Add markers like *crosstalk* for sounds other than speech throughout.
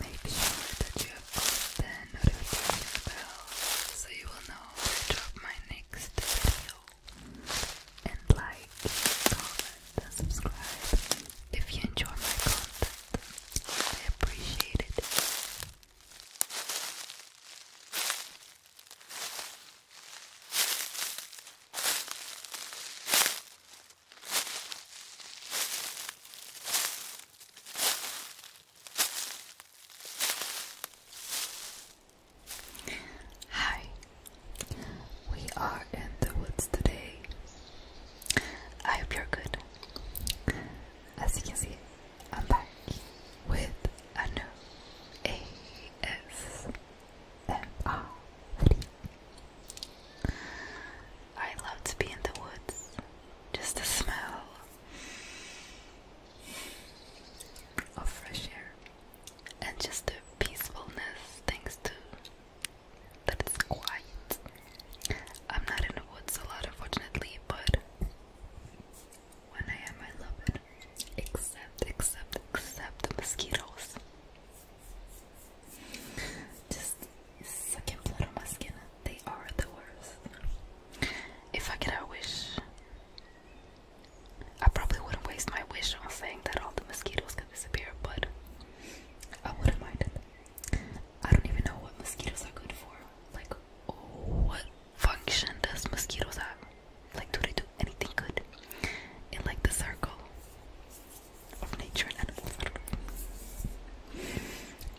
Make sure that you have got the notification bell so you will know when I drop my next video. And like, comment, and subscribe if you enjoy my content. I appreciate it. Hi, we are in the woods today. I hope you're good. As you can see, I'm back with a new ASMR video. I love to be in the woods, just the smell of fresh air and just the peacefulness thanks to that quiet. I'm not in the woods a lot, unfortunately, but when I am, I love it. Except, except, except the mosquitoes. Just sucking blood on my skin. They are the worst. If I get a wish, I probably wouldn't waste my wish on saying that all the mosquitoes could disappear, but I wouldn't mind it. I don't even know what mosquitoes are good for. Like, what function does mosquitoes have? Like, do they do anything good in like the circle?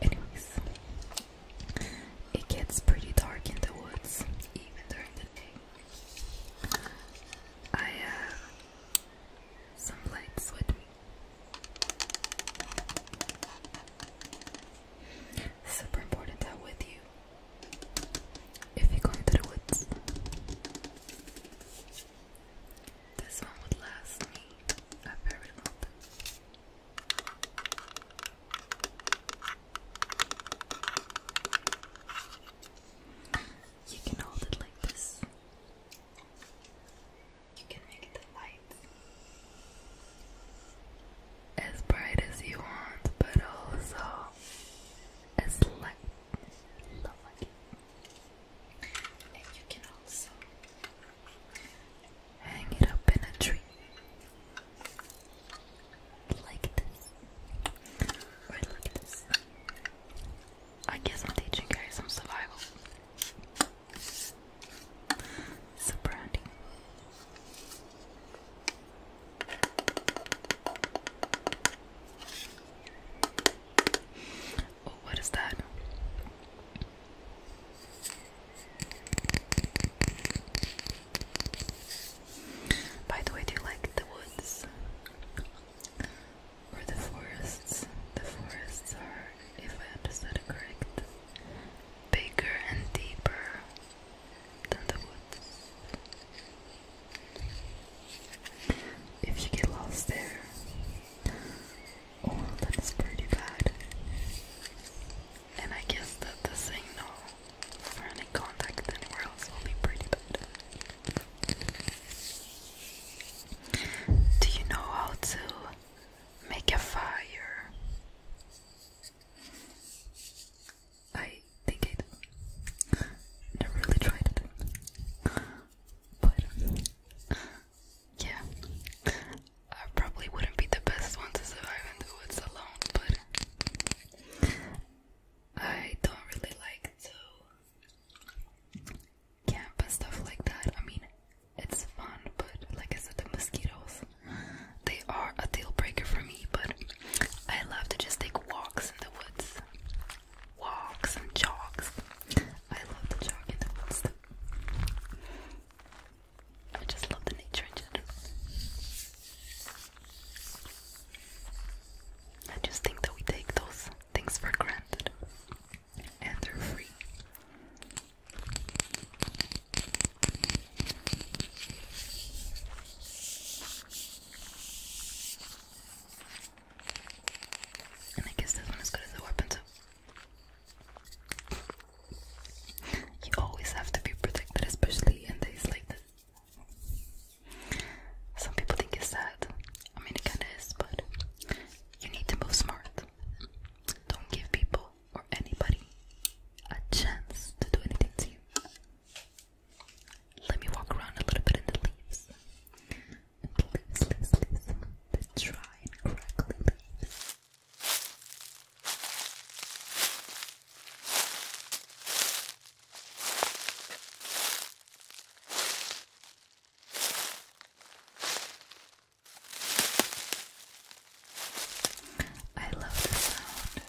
Anyways, it gets pretty dark in the woods, even during the day. I have uh, some lights with me. Super important that with you if you go into the woods. This one would last me a very long time. You can hold it like this. You can make it light. As bright as you want, but also as light and you can also hang it up in a tree like this, or like this. I guess I'm teaching you guys some survival. So brandy. Oh, what is that? By the way, do you like the woods? Or the forests? The forests are, if I understood correct, bigger and deeper than the woods. If you get lost there, oh, that is pretty bad. And I guess that the signal for any contact anywhere else will be pretty bad. Do you know how to make a fire? I think it. Never really tried it. But, yeah. I probably wouldn't be the best one to survive in the woods alone, but I don't really like to camp and stuff like that. I mean, it's fun, but like I said, the mosquitoes, they are a deal breaker for me, but I love to just take walks in the woods walks and jogs. I love to jog in the woods. I just love the nature in general. I just think that we take those things for granted, and they're free. And I guess this one is good as a weapon too. You always have to be protected, especially in days like this. Some people think it's sad. I mean, it kinda is, but you need to move smart. Don't give people or anybody a chance to do anything to you. Let me walk around a little bit in the leaves. The leaves, crackly leaves. I love the sound.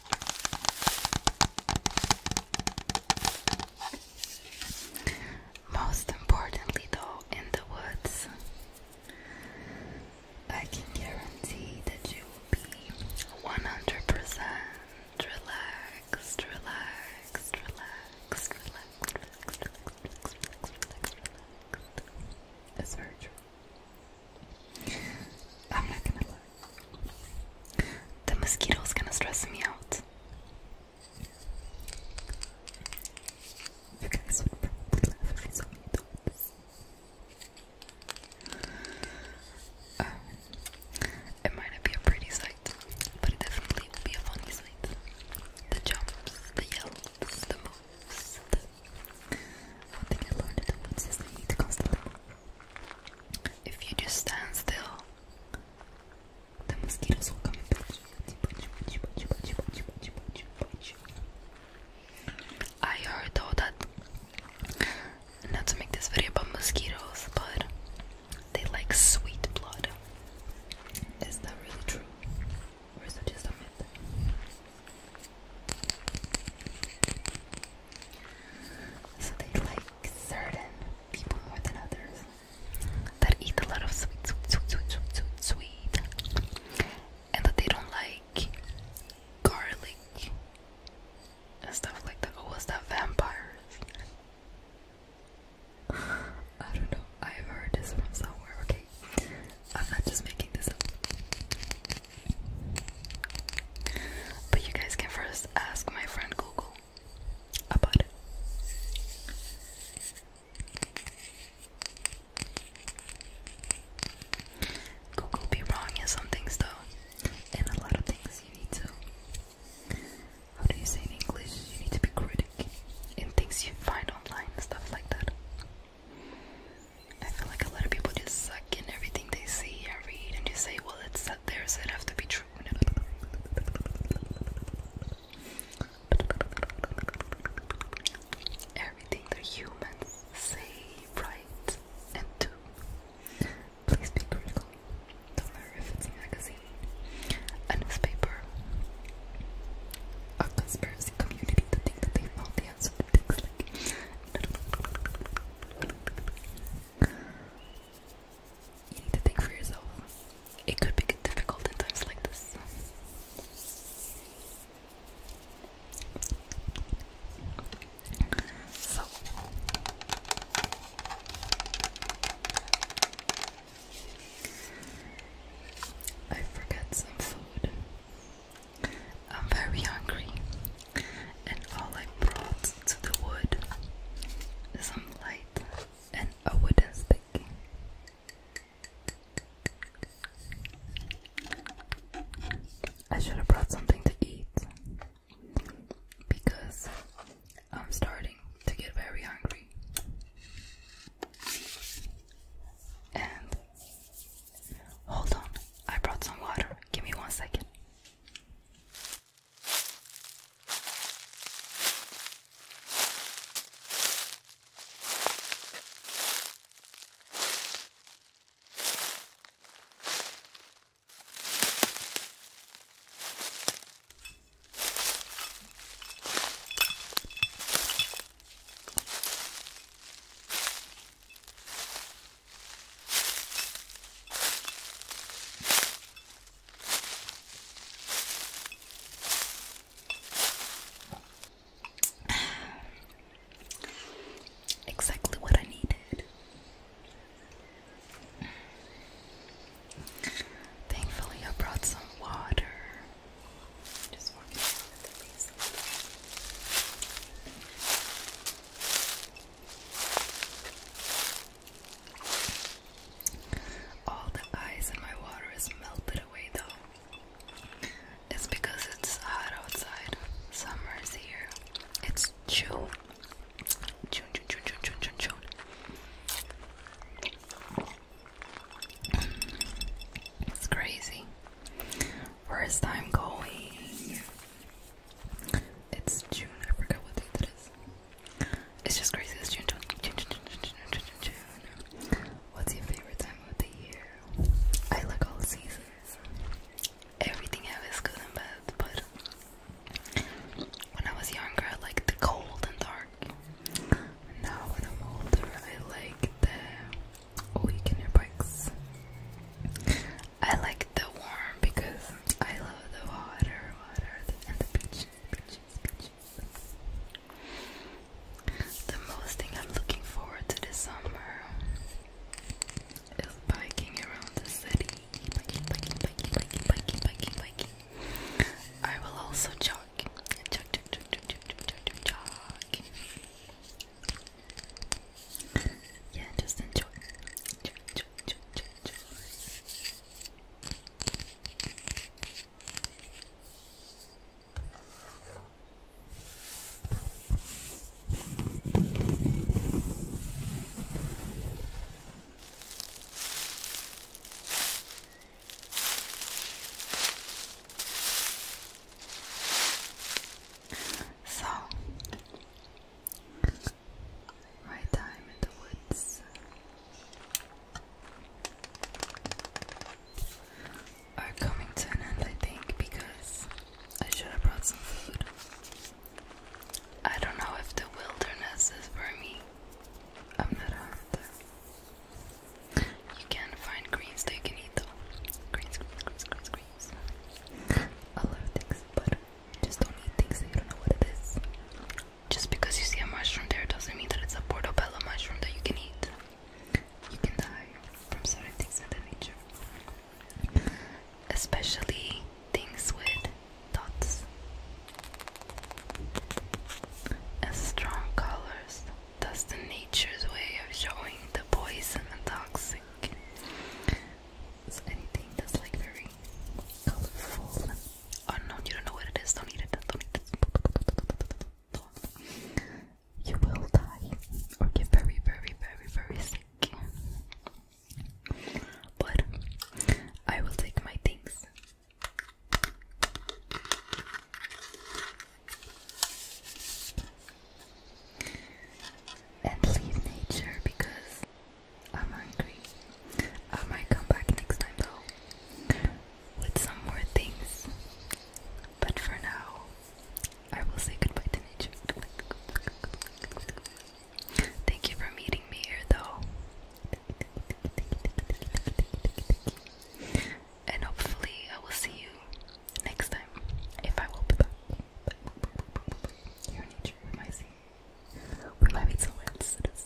Most importantly, though, in the woods, I can guarantee that you will be 100% relaxed, relaxed, relaxed, relaxed, relaxed, relaxed, relaxed, relaxed, relaxed. That's very true. I'm not gonna lie. The mosquito's gonna stress me out. Um, it might not be a pretty sight, but it definitely will be a funny sight. The jumps, the yells, the moves, one thing I learned in the is they need constantly. If you just stand still, the mosquitoes will come I heard though that, not to make this video about mosquitoes, but they like sweet blood. Is that really true? Or is so they like certain people more than others that eat a lot of sweet, sweet, sweet, sweet, sweet, sweet, and that they don't like garlic and stuff like that. Oh, was that vampires? *sighs* I don't know. i heard this from somewhere. Okay, I'm not just making this up. But you guys can first ask my friend Google about it. Google be wrong in some things though. In a lot of things you need to how do you say in English? You need to be critic in things you find online and stuff like that. I feel like a lot of people just suck in everything they see and read and just say, well, it's up there, so it has to be true. Everything that humans say, write, and do. Please be critical. Don't matter if it's a magazine, a newspaper, a conspiracy community, the thing that they found so you need to think for yourself. It could be difficult in times like this. I forget some food. I'm very hungry, and all I brought to the wood is some light and a wooden stick. I should have brought something to eat because I'm starting to get very hungry. And Hold on, I brought some water. Give me one second. Exactly what I needed. Thankfully, I brought some water. All the ice in my water is melted away though. It's because it's hot outside. Summer is here. It's June. June, June, June, June, June, June, June. It's crazy. First time going. It's June. I forgot what date it is. It's just crazy. It's June. June, June, June, June, June, June, June. What's your favorite time of the year? I like all seasons. Everything I is good and bad, but when I was younger, I liked the cold and dark. Now when I'm older, I like the weekend oh, bikes. I like the warm because I love the water, water, and the beach. The most thing I'm looking forward to this summer is biking around the city. Biking, biking, biking, biking, biking, biking, biking. I will also jog. Jog, jog, jog, jog, jog, jog, jog, jog yeah, just enjoy. So, my time in the woods. Are coming to an end, I think, because I should have brought some food. I don't know if the wilderness is for me. I'm not a hunter. You can find greens that you can eat though. Greens, greens, greens, greens, greens. I love things, but just don't eat things you don't know what it is. Just because you see a mushroom there doesn't mean that it's a portobello mushroom that you can eat. You can die from certain things in the nature. Especially things with dots and strong colors that's the nature's way of showing the poison and toxic. anything that's like very colorful. Oh you don't know what it is. Don't eat it. Don't eat it. You will die or get very, very, very, very sick. But I will take my things and leave nature because I'm hungry. I might come back next time though with some more things. But for now, I will say goodbye to nature. Thank you for meeting me here though. And hopefully, I will see you next time if I will put that. Your nature somewhere else